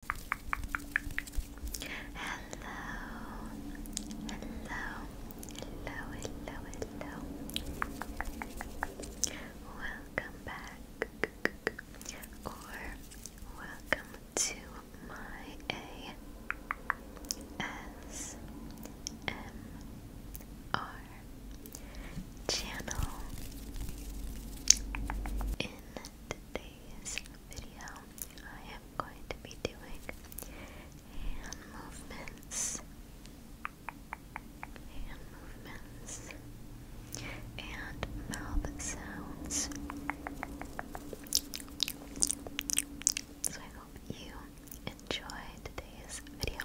hello, hello, hello. Welcome back, or welcome to my ASMR channel. In today's video, I am going to be doing hand movements, hand movements, and mouth sounds. So I hope you enjoy today's video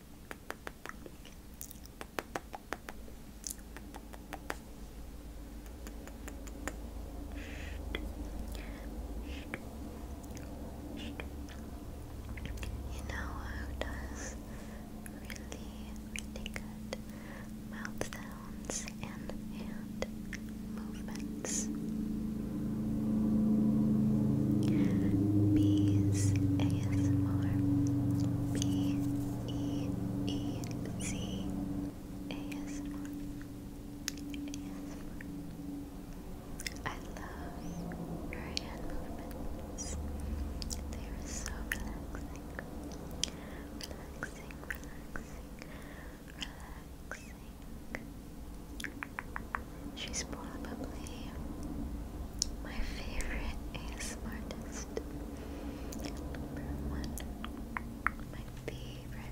You know who does really, really good mouth sounds and hand movements? Bees, ASMR B E E C love your hand movements. They are so relaxing. Relaxing, relaxing, relaxing. She's probably my favorite ASMR artist. Number one. My favorite.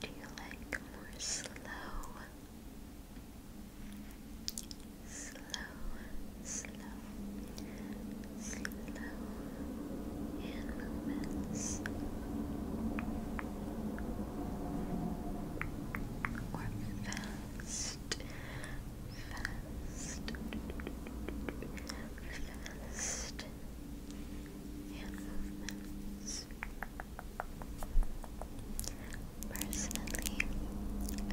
Do you like more slow? Slow, slow, slow movements or fast, fast, fast hand movements others. Personally,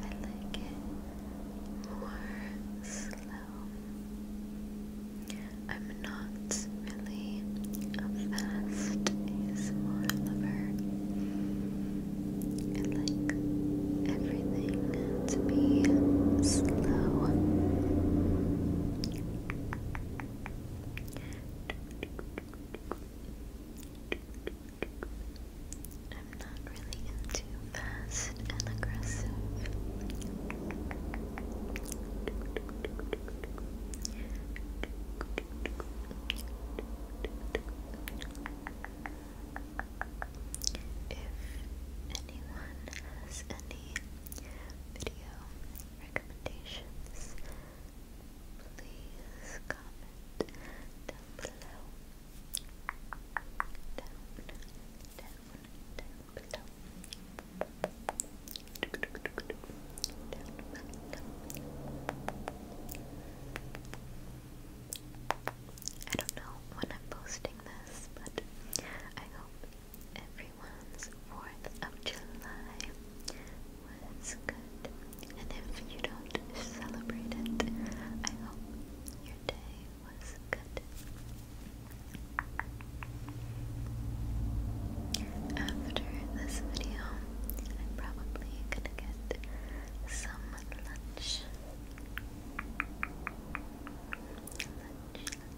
I like it more slow. I'm not really a fast lover. I like everything to be slow. I'm not really into fast and aggressive. If anyone has any video recommendations, please comment down below. Down, down, down below. Down below. I don't know when I'm posting this, but I hope every everyone's 4th of July was good. And if you don't celebrate it, I hope your day was good. After this video, I'm probably gonna get some lunch,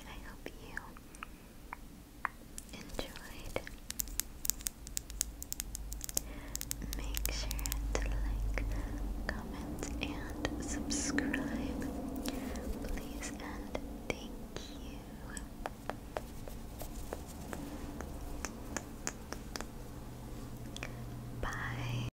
I hope you enjoyed. Make sure to like, comment, and subscribe. Please and thank you. Bye.